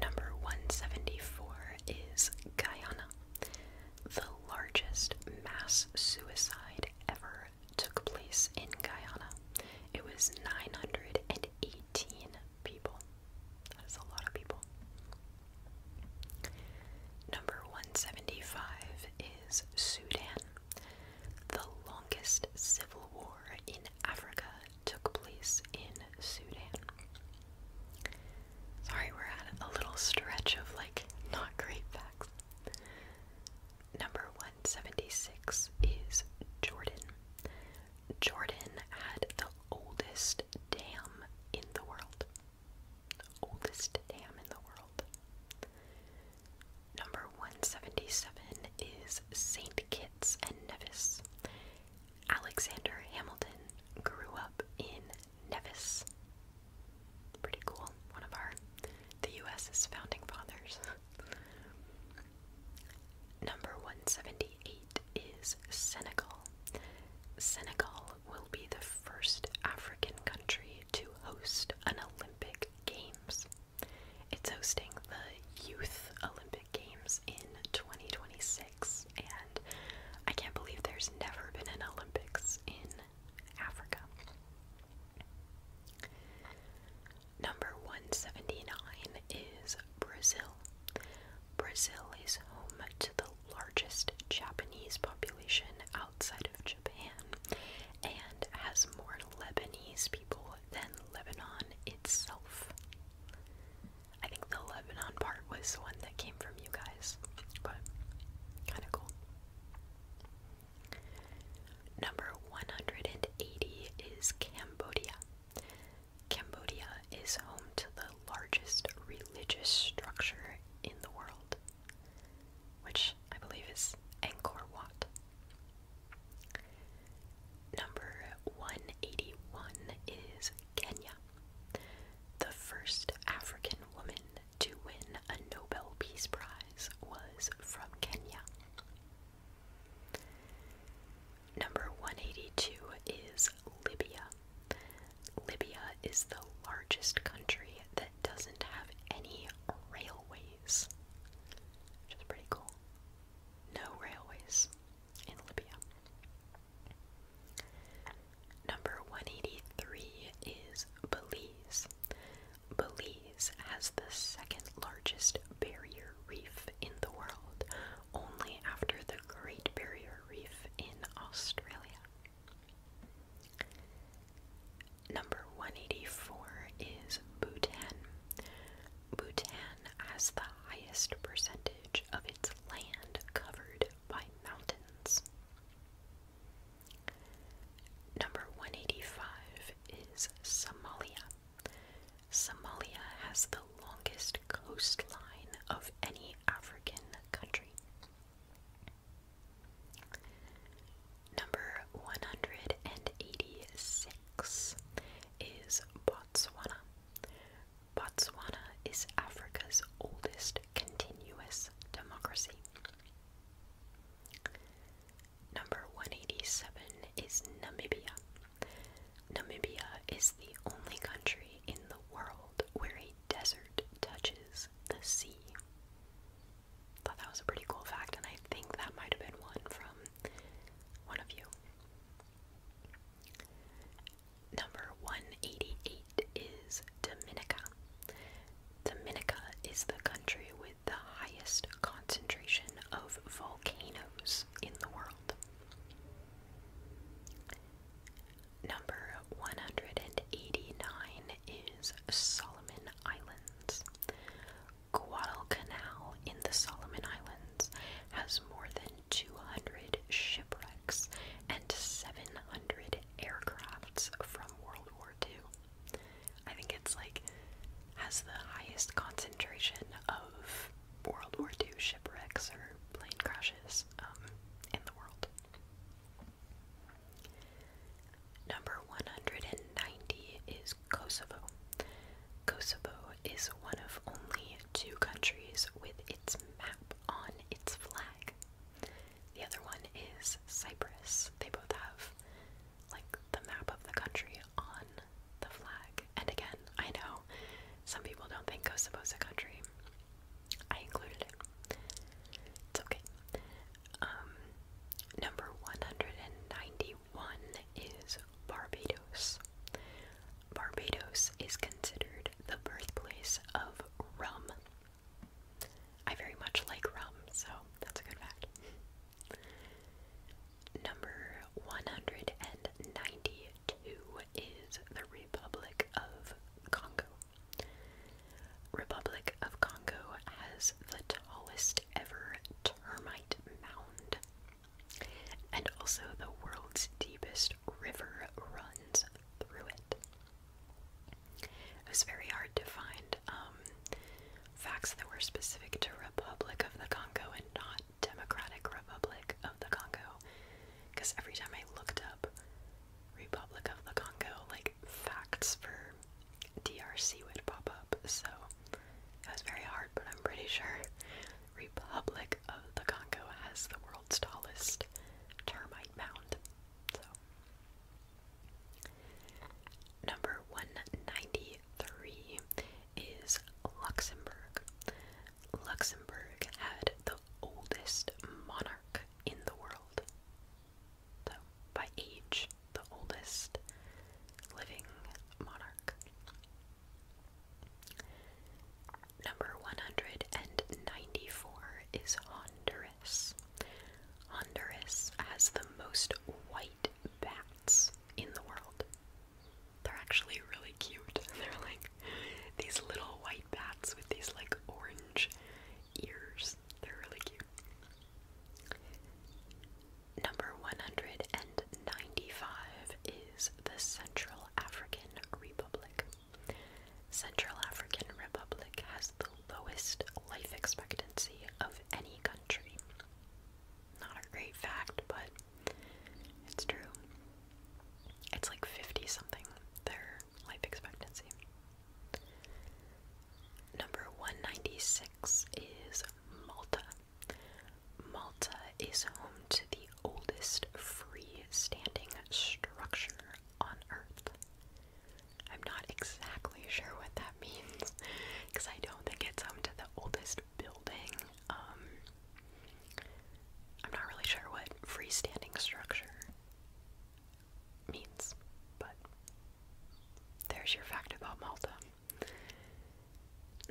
Number 174 is Guyana. The largest mass suicide ever took place in Guyana. It was 918 people. That is a lot of people. Number 175 is Sudan. The longest civil war in Africa took place in Sudan. Sorry, we're at a little stretch of like not great facts. Number 176 is Jordan. Jordan had the oldest dam in the world. oldest dam in the world. Number 177 is St. Kitts Nevis. Alexander Hamilton grew up in Nevis. Pretty cool. One of our the U.S. founding fathers. Number 178 is Senegal. Senegal will be the first African country to host an Olympic Games. It's hosting the Youth Olympic Games in 2026, and I can't believe there's never been an Olympics in Africa. Number 179 is Brazil. Brazil is home to the largest Japanese population outside of Japan and has more Lebanese people than Lebanon itself. I think the Lebanon part was one that came from you guys, but kind of cool. Number 180 is Cambodia. Cambodia is home to the largest religious structure in the world, which I believe is Angkor Wat. Number 181 is Kenya, the first African woman to win a Nobel Peace Prize was from Kenya. Number 182 is Libya. Libya is the largest country that doesn't have any railways, which is pretty cool no railways in Libya. Number 183 is Belize. Belize has the second largest barrier reef in the world, only after the Great Barrier Reef in Australia. Number 184 is Bhutan. Bhutan has the highest percentage of its land covered by mountains. Number 185 is Somalia. Somalia has the longest coastline of any African country. Number 186 six is Botswana. Botswana is Africa's oldest continuous democracy. Number 187 is Namibia. Namibia is the only country in the world where a desert touches the sea. Thought that was a pretty cool fact, and I think that might have been one from one of you. Number 188 is Dominica. Dominica is the country with the highest concentration of volcanoes in the world. Number 189 is Solomon Islands. Guadalcanal in the Solomon Islands has more than 200 shipwrecks and 700 aircrafts from World War II. I think it's like has the highest concentration of World War II shipwrecks or plane crashes um, in the world. Number 190 is Kosovo. Kosovo is one of only two countries with its map on its flag. The other one is Cyprus. They both have like the map of the country on the flag. And again, I know some people don't think Kosovo is a country. I included it. It's okay. Um, number 191 is Barbados. Barbados is considered the birthplace of rum. I very much like rum, so that's a good fact. Number 192 is the Republic of Congo. Republic of Congo has the tallest ever termite mound and also the world's deepest river runs through it. It was very hard to find um, facts that were specific to Republic of the Congo and not Democratic Republic of the Congo, because every time I looked up Republic of the Congo, like facts for DRC would pop up. So it was very hard, but I'm pretty sure Republic of the Congo has the world's tallest termite mound. So number 193 is Luxembourg. Luxembourg had the oldest monarch in the world. So by age, the oldest living monarch. Number 194 is Honduras. Honduras has the most white bats in the world. They're actually really cute. They're like these little white bats with these like orange ears. They're really cute. Number 195 is the Central African Republic. Central African Republic has the lowest life expectancy of any country. Not a great fact, but it's true. It's like 50 something, their life expectancy. Number 196 is Malta. Malta is home to the oldest freestanding structure on Earth. I'm not exactly sure what that means, because I don't think it's home to the oldest building. Um, I'm not really sure what freestanding structure means, but there's your fact about Malta.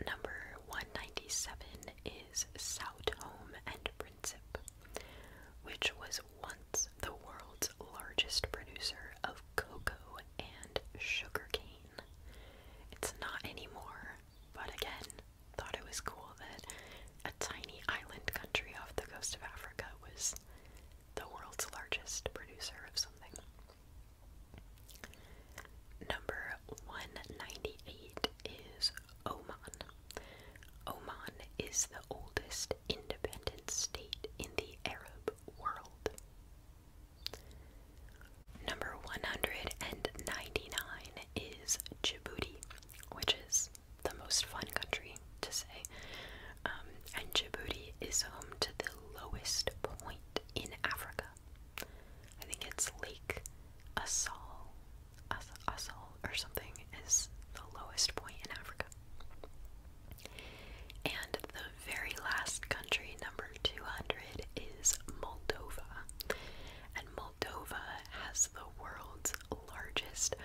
Number 197 is Southolm and Principe, which was once the world's largest producer of cocoa and sugarcane. It's not anymore, but again, thought it was cool that a tiny island country off the coast of Africa was the world's largest producer of something. Number 198 is Oman. Oman is the oldest independent state in the Arab world. Number 199 is Djibouti, which is the most fun country to say. Um, and Djibouti is home to the lowest point in Africa. I think it's Lake Assal, Assal or something is the lowest point in Africa. And the very last country, number 200, is Moldova. And Moldova has the world's largest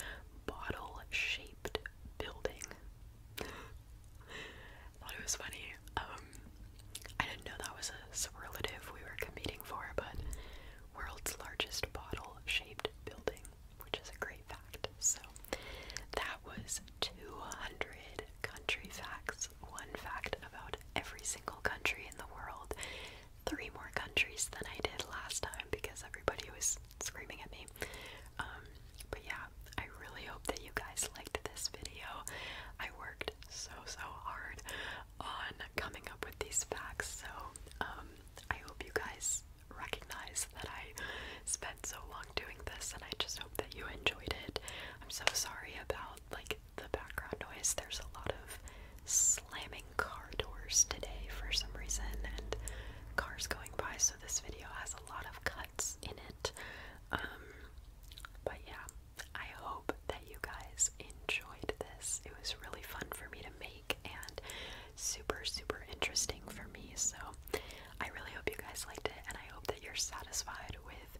bottle shaped building. thought it was funny. Um, I didn't know that was a superlative we were competing for, but world's largest bottle shaped building, which is a great fact. So that was 200 country facts, one fact about every single country in the world, three more countries than I did last time because everybody was screaming at me. Um, but yeah, I really hope that you guys liked this video. I worked so so hard on coming up with these facts. So um, I hope you guys recognize that I spent so long doing this, and I just hope that you enjoyed it. I'm so sorry about like the background noise. There's a lot of slamming car doors today for some reason, and cars going by. So this video has a lot of cuts in it. Um, but yeah, I hope that you guys enjoyed this. It was really fun for me to make and super, super interesting for me. So I really hope you guys liked it and I hope that you're satisfied with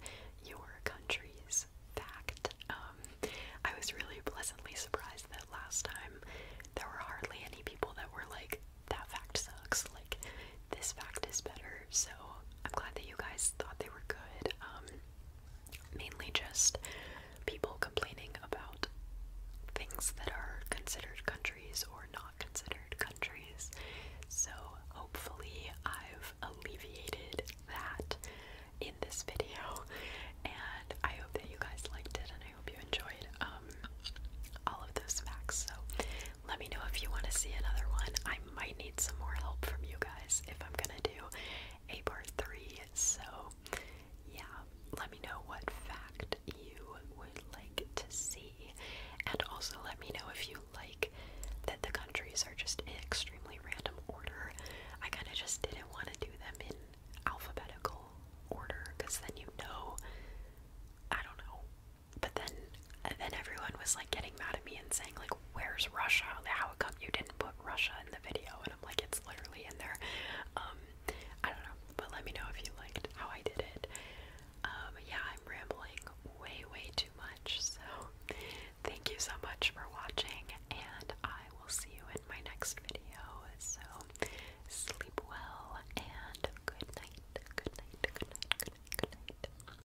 your country's fact. Um, I was really pleasantly surprised that last time there were hardly any people that were like, that fact sucks. Like, this fact is better. So I'm glad that you guys thought they were good. Um, mainly just people complaining about things that are considered countries or not considered countries. So hopefully I've alleviated that in this video and I hope that you guys liked it and I hope you enjoyed um, all of those facts. So let me know if you want to see another one. I might need some more help from you guys if I'm gonna do a part three. So, yeah, let me know what fact you would like to see, and also let me know if you like that the countries are just in extremely random order. I kind of just didn't want to do them in alphabetical order because then you know. I don't know. But then then everyone was like getting mad at me and saying like where's Russia? How come you didn't put Russia in the video? And I'm like it's literally in there. Um, I don't know, but let me know if you liked how I did it. Um, yeah, I'm rambling way way too much. So thank you so much for watching and I will see you in my next video. So sleep well and good night. Good night. Good night. Good night. Good night.